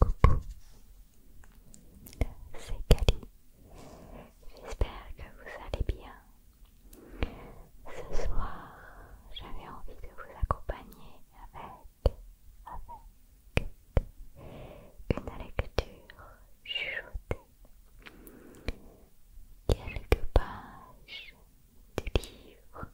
Coucou, c'est Cali. J'espère que vous allez bien. Ce soir, j'avais envie de vous accompagner avec, avec une lecture chuchotée. Quelques pages du livre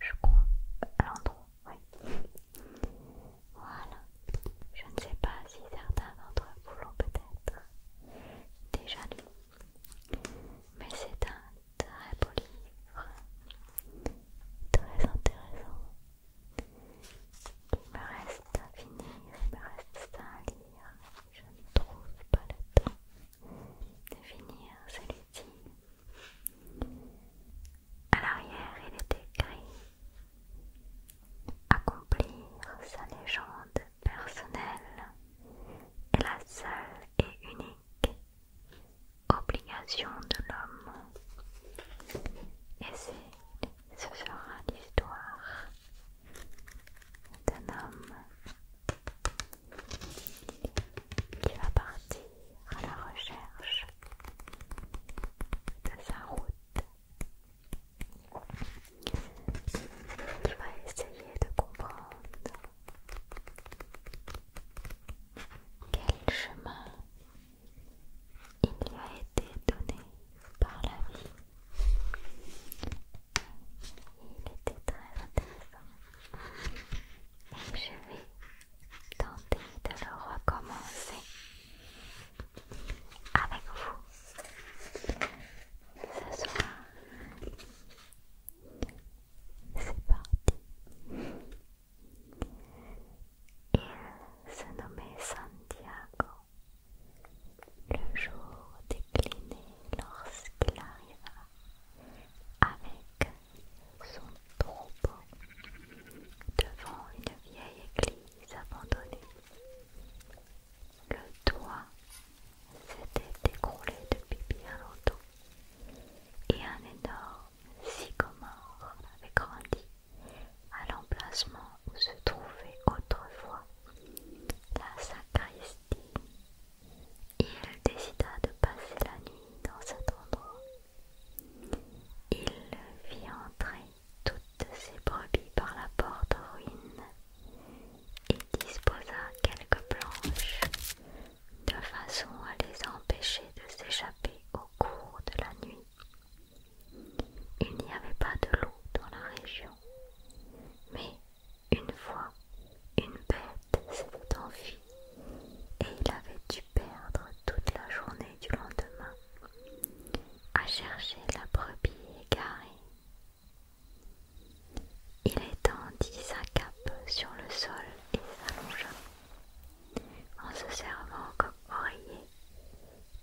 je crois, à l'endroit, oui. Voilà. Je ne sais pas si certains d'entre vous l'ont peut-être déjà lu, mais c'est un très beau livre, très intéressant. Il me reste à finir, il me reste à lire. Je ne trouve pas le temps de finir celui-ci, à l'arrière, il est écrit Accomplir sa légende personnelle est la seule et unique obligation de l'homme. Et ce sera l'histoire d'un homme qui va partir à la recherche de sa route, qui va essayer de comprendre quel chemin il lui a été donné par la vie. Il était très intéressant. je vais Tentez de le recommencer avec vous ce soir. C'est parti. Il se nommait Santiago. Le jour décliné lorsqu'il arriva avec son troupeau devant une vieille église abandonnée. Le toit s'était écroulé depuis bien longtemps et un énorme sycomore avait grandi à l'emplacement où se trouvait autrefois la sacristie il décida de passer la nuit dans cet endroit. Il fit entrer toutes ses brebis par la porte ruine et disposa quelques planches de façon à les empêcher de s'échapper au cours de la nuit. Il n'y avait pas de loup dans la région, mais une fois, une bête s'était enfuie et il avait dû perdre toute la journée du lendemain à chercher la brebis égarée. Il étendit sa cape sur le sol et s'allongea en se servant comme oreiller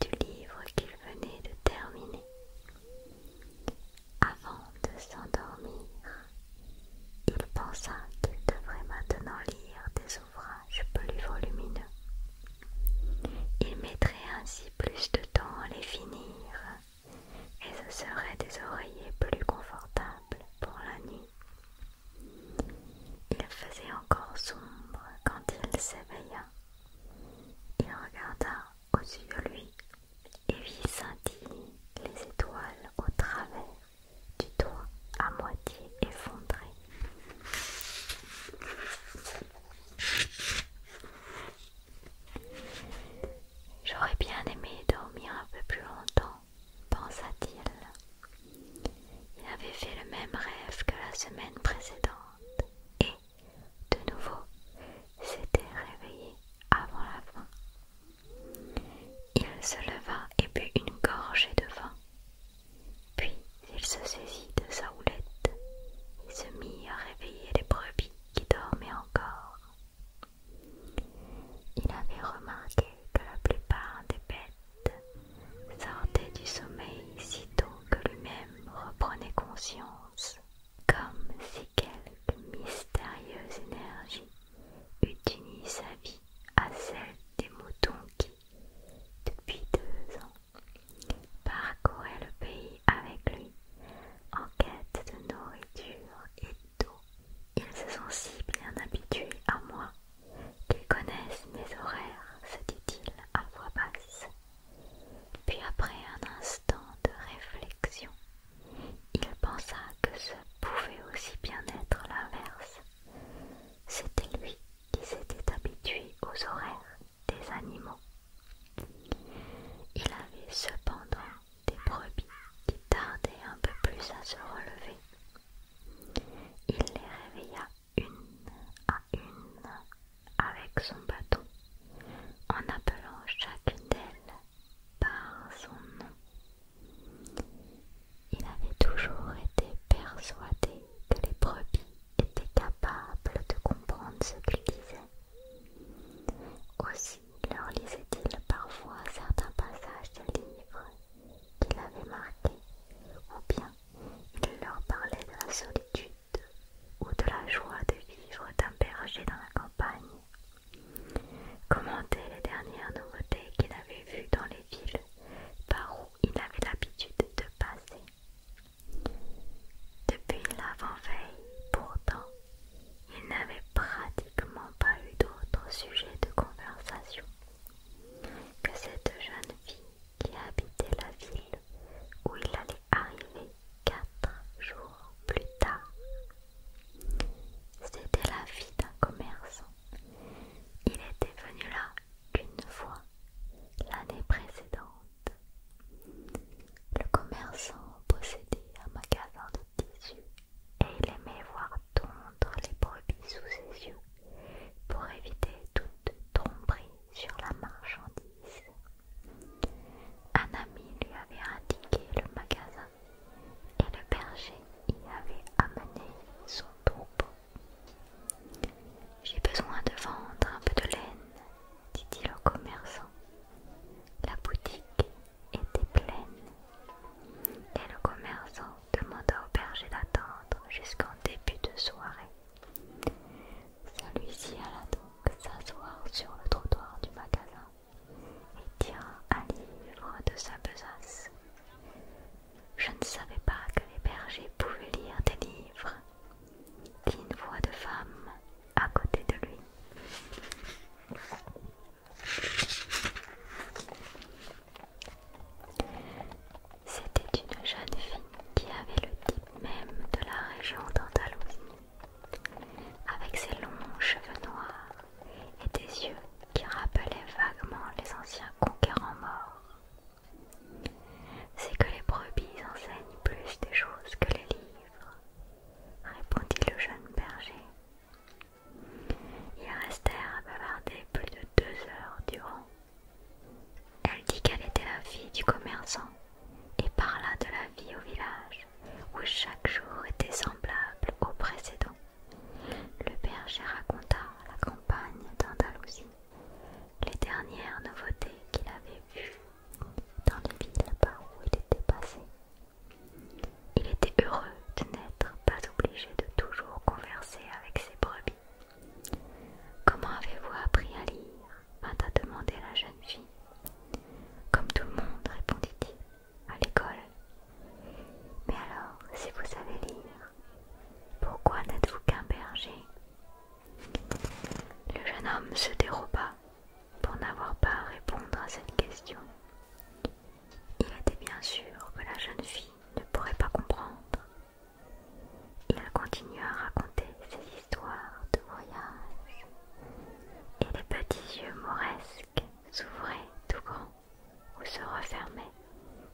du livre qu'il venait de terminer. Avant de s'endormir, il pensa qu'il devrait maintenant lire des ouvrages plus volumineux. Il mettrait ainsi plus de temps à les finir et ce serait des oreillers plus confortables pour la nuit. Il faisait encore sombre quand il s'éveilla. Il regarda au-dessus de lui et vit scintille les étoiles au travers du toit à moitié effondré. J'aurais bien aimé dormir un peu plus longtemps, pensa-t-il. Il avait fait le même rêve que la semaine précédente et, de nouveau, s'était réveillé avant la fin. Il se leva et but une gorgée de vin. Puis il se saisit de sa houlette et se mit à réveiller les brebis qui dormaient encore. Il avait remarqué que la plupart des bêtes sortaient du sommeil sitôt que lui-même reprenait conscience, comme si quelque mystérieuse énergie eût sa vie à celle des moutons qui, depuis deux ans, parcouraient le pays avec lui en quête de nourriture et d'eau. Ils se sont si bien habitués à moi qu'ils connaissent mes horaires, se dit-il à voix basse. Puis après un instant de réflexion, il pensa que ce pouvait aussi bien être l'inverse. C'était lui qui s'était habitué aux horaires des animaux. Il avait cependant des brebis qui tardaient un peu plus à se relever. Il les réveilla une à une avec son bâton en appelant chacune d'elles par son nom. Il avait toujours été persuadé que les brebis étaient capables de comprendre ce qu'il disait. Aussi leur lisait-il parfois certains passages de livres qu'il avait marqués, ou bien il leur parlait de la solitude ou de la joie de vivre d'un berger dans la campagne commentait les dernières nouveautés qu'il avait vues dans les villes par où il avait l'habitude de passer. Depuis l'avant-veille, pourtant, il n'avait pratiquement pas eu d'autre sujet de conversation que cette jeune fille qui habitait la ville où il allait arriver quatre jours plus tard. C'était la vie d'un commerçant. Il était venu là qu'une fois l'année précédente. Le commerçant possédait un magasin de tissus et il aimait voir tondre les brebis sous ses yeux pour éviter toute tromperie sur la marchandise. Un ami lui avait indiqué le magasin et le berger y avait amené son troupeau. J'ai besoin de vendre un peu de laine, dit-il au commerçant. La boutique était pleine et le commerçant demanda au berger d'attendre jusqu'en début de soirée. Celui-ci alla donc s'asseoir sur le trottoir du magasin et tira un livre de sa besace. Je ne savais pas que les bergers pouvaient lire des livres, dit une voix de femme à côté de lui. C'était une jeune fille qui avait le type même de la région d'Andalousie avec ses longs cheveux noirs et des yeux qui rappelaient vaguement les anciens conquérants morts. C'est que les brebis enseignent plus des choses que les livres, répondit le jeune berger. Ils restèrent à bavarder plus de deux heures durant. Elle dit qu'elle était la fille du commerçant et parla de la vie au village, où chaque jour était semblable au précédent. Le berger raconta la campagne d'Andalousie, les dernières nouveautés qu'il avait vues dans les villes par où il était passé. Il était heureux de n'être pas obligé de toujours converser avec ses brebis. Comment avez-vous appris à lire vint à demander la jeune fille. Comme tout le monde, répondit-il, à l'école. Mais alors, si vous savez lire, pourquoi n'êtes-vous qu'un berger Le jeune homme se déroba pour n'avoir pas à répondre à cette question. Il était bien sûr que la jeune fille ne pourrait pas comprendre. Il continua à raconter ses histoires de voyage et les petits yeux moresques s'ouvraient tout grands ou se refermaient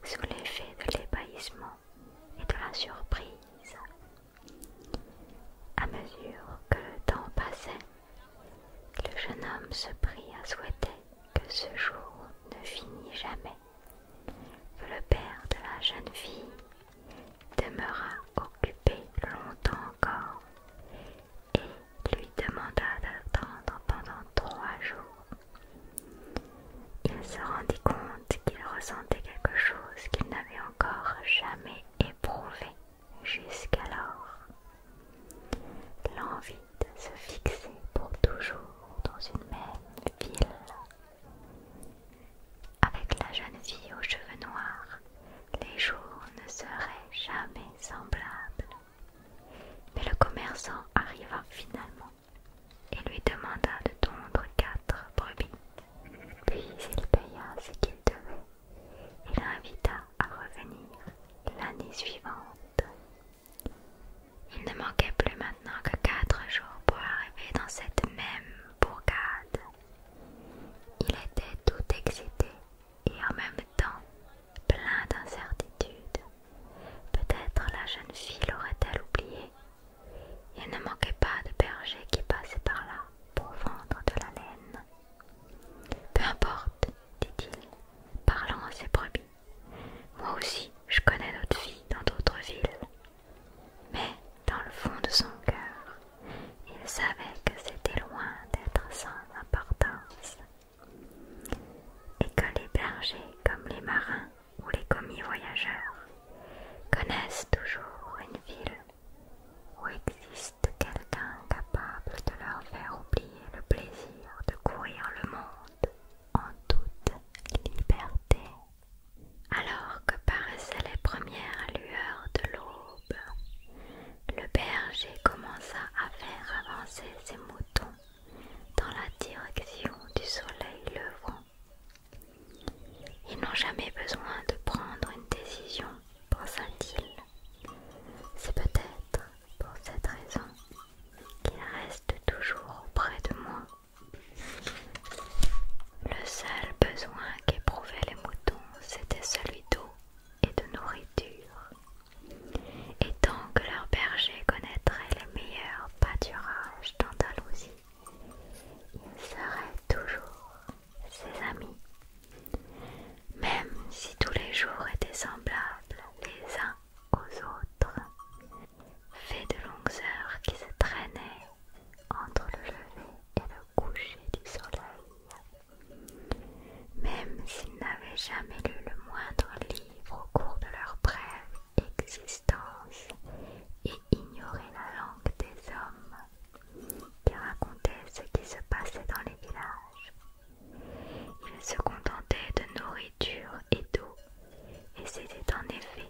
sous l'effet de l'ébahissement et de la surprise. À mesure que le temps passait, le jeune homme se prit à souhaiter que ce jour ne finît jamais, que le père de la jeune fille demeura occupé longtemps encore et lui demanda d'attendre pendant trois jours. Il se rendit compte qu'il ressentait quelque chose qu'il n'avait encore jamais éprouvé jusqu'alors. L'envie de se fixer pour toujours dans une même ville avec la jeune fille aux cheveux noirs, les jours ne seraient jamais semblables. Mais le commerçant arriva finalement et lui demanda de tondre quatre brebis. Puis il paya ce qu'il devait et l'invita à revenir l'année suivante. Il ne manquait plus maintenant que quatre jours pour arriver dans cette même bourgade il était tout excité et en même temps plein d'incertitude. Peut-être la jeune fille l'aurait-elle oublié. Il ne manquait pas de berger qui passait par là pour vendre de la laine. Peu importe, dit-il, parlant à ses brebis. Moi aussi, je connais d'autres filles dans d'autres villes mais dans le fond de son cœur, il savait que c'était loin d'être sans importance et que les bergers comme les marins ou les commis voyageurs connaissent toujours une ville où existe quelqu'un capable de leur faire oublier le plaisir de courir le monde en toute liberté. Alors que paraissaient les premières lueurs de l'aube, le berger commença à faire avancer ses moutons dans la direction du soleil levant. Ils n'ont jamais besoin de prendre une décision, pensa-t-il. C'est peut-être pour cette raison qu'ils restent toujours auprès de moi. Le seul besoin qu'éprouvaient les moutons, c'était celui d'eau et de nourriture. Et tant que leur berger connaîtrait les meilleurs pâturages d'Andalousie, ils seraient toujours ses amis. Même si tous les jours étaient semblables les uns aux autres, Fait de longues heures qui se traînaient entre le lever et le coucher du soleil. Même s'ils n'avaient jamais lu le moindre livre au cours de leur brève existence et ignoraient la langue des hommes qui racontaient ce qui se passait dans les villages. Ils se contentaient de nourriture et d'eau, et c'était en effet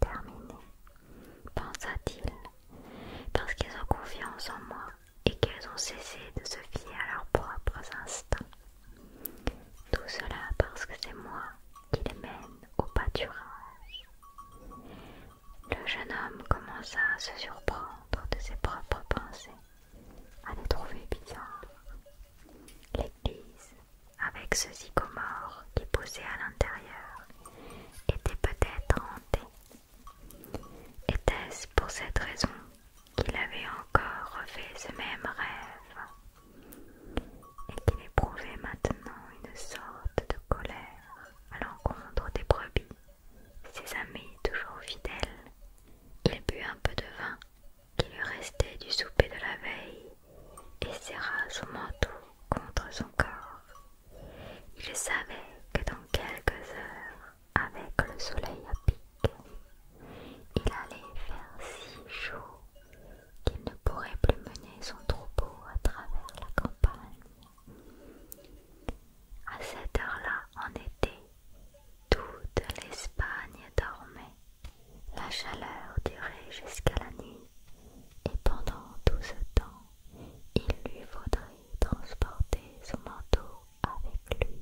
terminé, pensa-t-il, parce qu'ils ont confiance en moi et qu'ils ont cessé de se fier à leurs propres instincts. Tout cela parce que c'est moi qui les mène au pâturage. Le jeune homme commença à se surprendre de ses propres pensées, à les trouver bizarres, L'église, avec ce zygomore qui poussait à l'intérieur, était peut-être hantée. Était-ce pour cette raison qu'il avait encore refait ce même rêve et qu'il éprouvait maintenant une sorte de colère à l'encontre des brebis, ses amis toujours fidèles Il but un peu de vin qui lui restait du souper de la veille et serra son manteau contre son corps. Il savait que dans quelques heures, avec le soleil à pic, il allait faire si chaud qu'il ne pourrait plus mener son troupeau à travers la campagne. À cette heure-là, en été, toute l'Espagne dormait. La chaleur durait jusqu'à la nuit, et pendant tout ce temps, il lui faudrait transporter son manteau avec lui.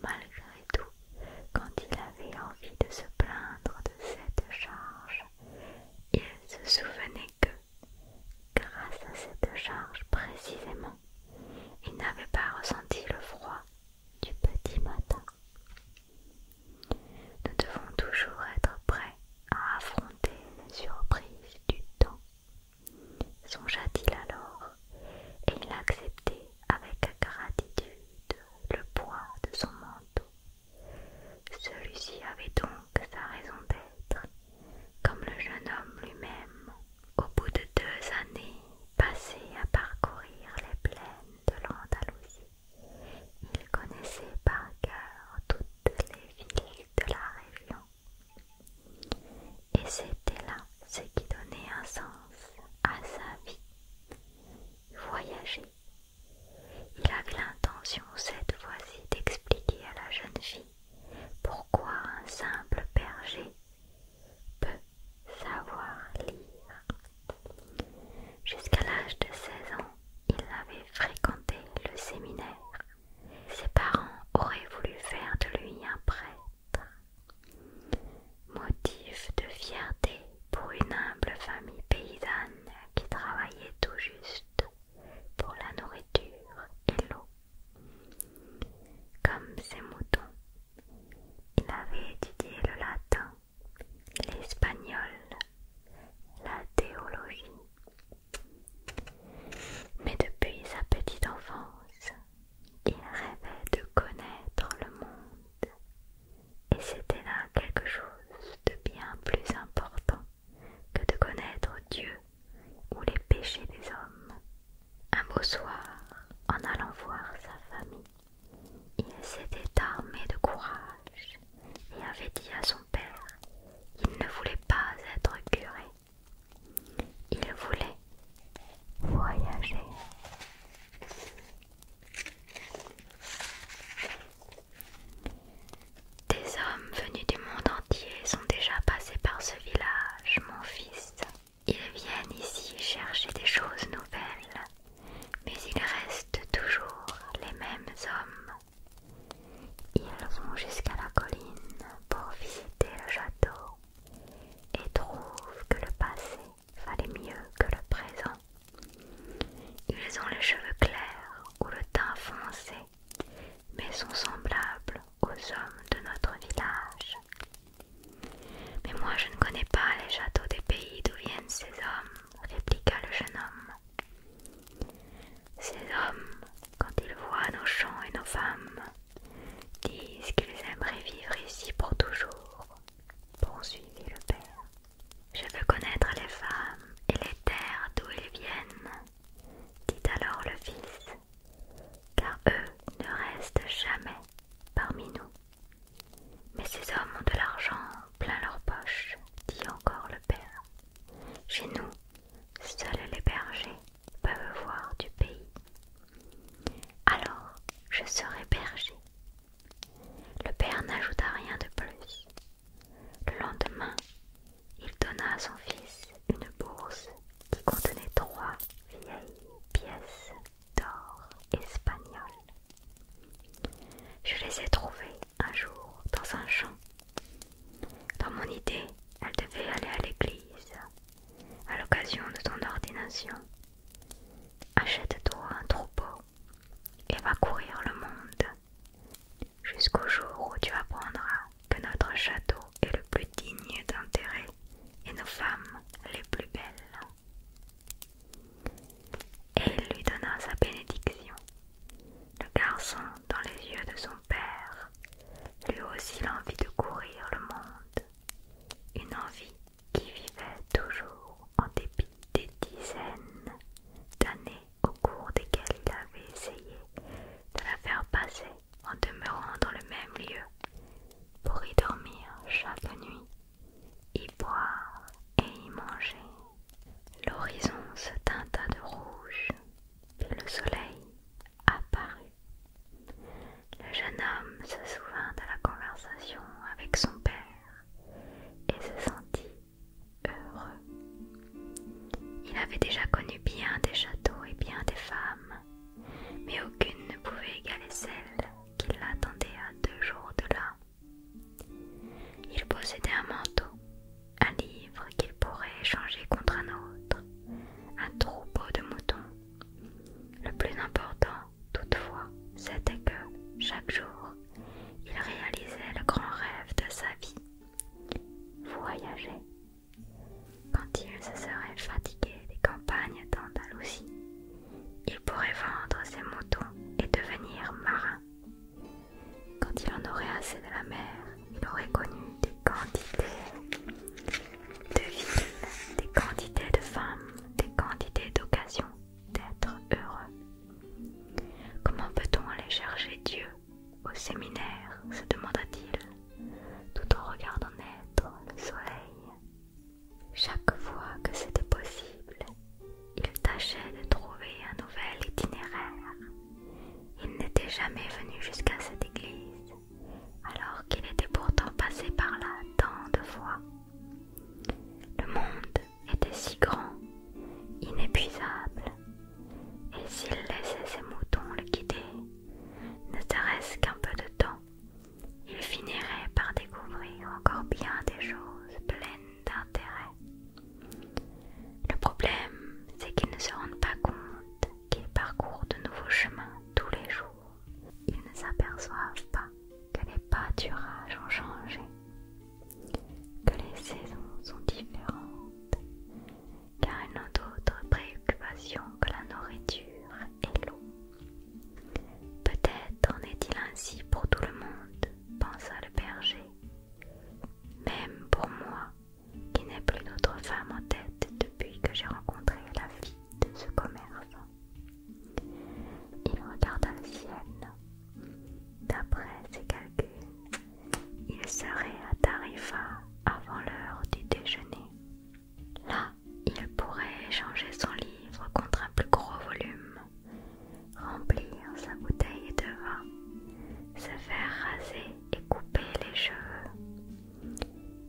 Malgré tout, quand il avait envie de se plaindre de cette charge, il se souvenait que, grâce à cette charge précisément, il n'avait pas ressenti le froid du petit matin. Nous devons toujours être prêts à affronter les surprises du temps. Songea-t-il alors, et il acceptait avec gratitude le poids de son manteau. Celui-ci avait donc sa raison d'être, comme le jeune homme lui-même, au bout de deux années passées à parcourir les plaines de l'Andalousie. Il connaissait par cœur toutes les villes de la région. Et c'était là ce qui donnait un sens à sa vie. Voyager. Il avait l'intention cette fois-ci d'expliquer à la jeune fille pourquoi un simple berger peut savoir lire. Jusqu'à l'âge de 16 ans, il avait fréquenté le séminaire. Ses parents auraient voulu faire de lui un prêtre. Motif de fierté pour une humble famille paysanne qui travaillait tout juste pour la nourriture et l'eau. Comme ses moutons, il avait étudié le latin, l'espagnol, la théologie. Mais depuis sa petite enfance, il rêvait de connaître le monde. Et c'était là quelque chose de bien plus important que de connaître Dieu ou les péchés des hommes. Un beau soir, en allant voir sa famille, il s'était armé de courage et avait dit à son père qu'il ne voulait pas être curé. Il voulait voyager. Des hommes venus du monde entier sont déjà passés par ce village, mon fils, ils viennent ici chercher des choses nouvelles, mais ils restent toujours les mêmes hommes. Ils vont jusqu'à la colline pour visiter le château et trouvent que le passé valait mieux que le présent. Ils ont les cheveux clairs ou le teint foncé, mais sont semblables aux hommes de notre village mais moi je ne connais pas les châteaux des pays d'où viennent ces hommes, répliqua le jeune homme. Ces hommes, quand ils voient nos champs et nos femmes, disent qu'ils aimeraient vivre ici pour toujours, poursuivit le père. Je veux connaître les femmes et les terres d'où ils viennent, dit alors le fils car eux ne restent jamais parmi nous. Mais ces hommes ont de l'argent plein leur poche, dit encore le père. Chez nous, seuls les bergers peuvent voir du pays. Alors, je serai berger. Le père n'ajouta rien de plus. Le lendemain, il donna à son fils une bourse qui contenait trois vieilles pièces d'or espagnol. Je les ai trouvés un jour dans un champ. Dans mon idée, elle devait aller à l'église à l'occasion de ton ordination. Achète-toi un troupeau et va courir le monde jusqu'au jour où tu apprendras que notre château et le plus digne d'intérêt, et nos femmes les plus belles. Et il lui donna sa bénédiction. Le garçon, dans les yeux de son père, lui aussi l'envie de courir le monde, une envie qui vivait toujours en dépit des dizaines d'années au cours desquelles il avait essayé de la faire passer en demeurant dans le même lieu, pour y dormir chaque nuit, y boire et y manger. L'horizon se tinta de rouge, et le soleil apparut. Le jeune homme se souvint de la conversation avec son père et se sentit heureux. Il avait déjà connu bien des châteaux et bien des femmes, mais aucune ne pouvait égaler celle qui l'attendait à deux jours de là. Il possédait un manteau, un livre qu'il pourrait échanger contre un autre, un troupeau de moutons. Le plus important, toutefois, c'était que, chaque jour, il réalisait le grand rêve de sa vie. Voyager quand il se serait fatigué des campagnes d'Andalousie, il pourrait vendre ses moutons et devenir marin. Quand il en aurait assez de la mer, il aurait connu des quantités de villes, des quantités de femmes, des quantités d'occasions d'être heureux. Comment peut-on aller chercher Dieu au séminaire se demanda-t-il tout en regardant le soleil. Chaque fois que c'était possible, il tâchait de trouver un nouvel itinéraire. Il n'était jamais venu jusqu'à cette église, alors qu'il était pourtant passé par là tant de fois. Le monde était si grand, inépuisable, et s'il laissait ses moutons le guider, ne serait qu'un peu de temps, ils finiraient par découvrir encore bien des choses pleines d'intérêt. Le problème, c'est qu'ils ne se rendent pas compte qu'ils parcourent de nouveaux chemins tous les jours. Ils ne s'aperçoivent pas que les pâturages ont changé, que les saisons sont différentes, car elles n'ont d'autres préoccupations que la nourriture et l'eau. Peut-être en est-il ainsi pour tout le monde, pensa le berger, même pour moi, qui n'ai plus d'autre femme en tête depuis que j'ai rencontré la fille de ce commerçant. Il regarda le ciel. D'après ses calculs, il serait à Tarifa avant l'heure du déjeuner. Là, il pourrait échanger son livre contre un plus gros volume, remplir sa bouteille de vin, se faire raser et couper les cheveux.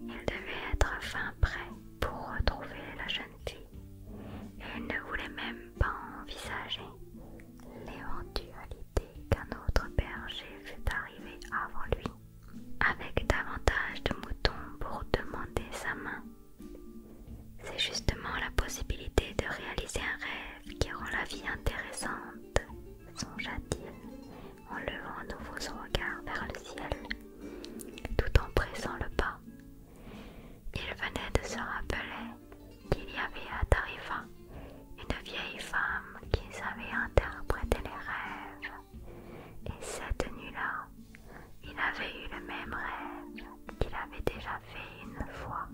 Il devait être fin prêt pour retrouver la jeune fille, et il ne voulait même pas envisager l'éventualité qu'un autre berger fût arrivé avant lui avec davantage de moutons pour demander sa main. C'est justement la possibilité de réaliser un rêve qui rend la vie intéressante, songea-t-il en levant à nouveau son regard vers le ciel, tout en pressant le pas. Il venait de se rappeler qu'il y avait à Tarifa une vieille femme qui savait interpréter les rêves. Et cette nuit-là, il avait eu le même rêve qu'il avait déjà fait une fois.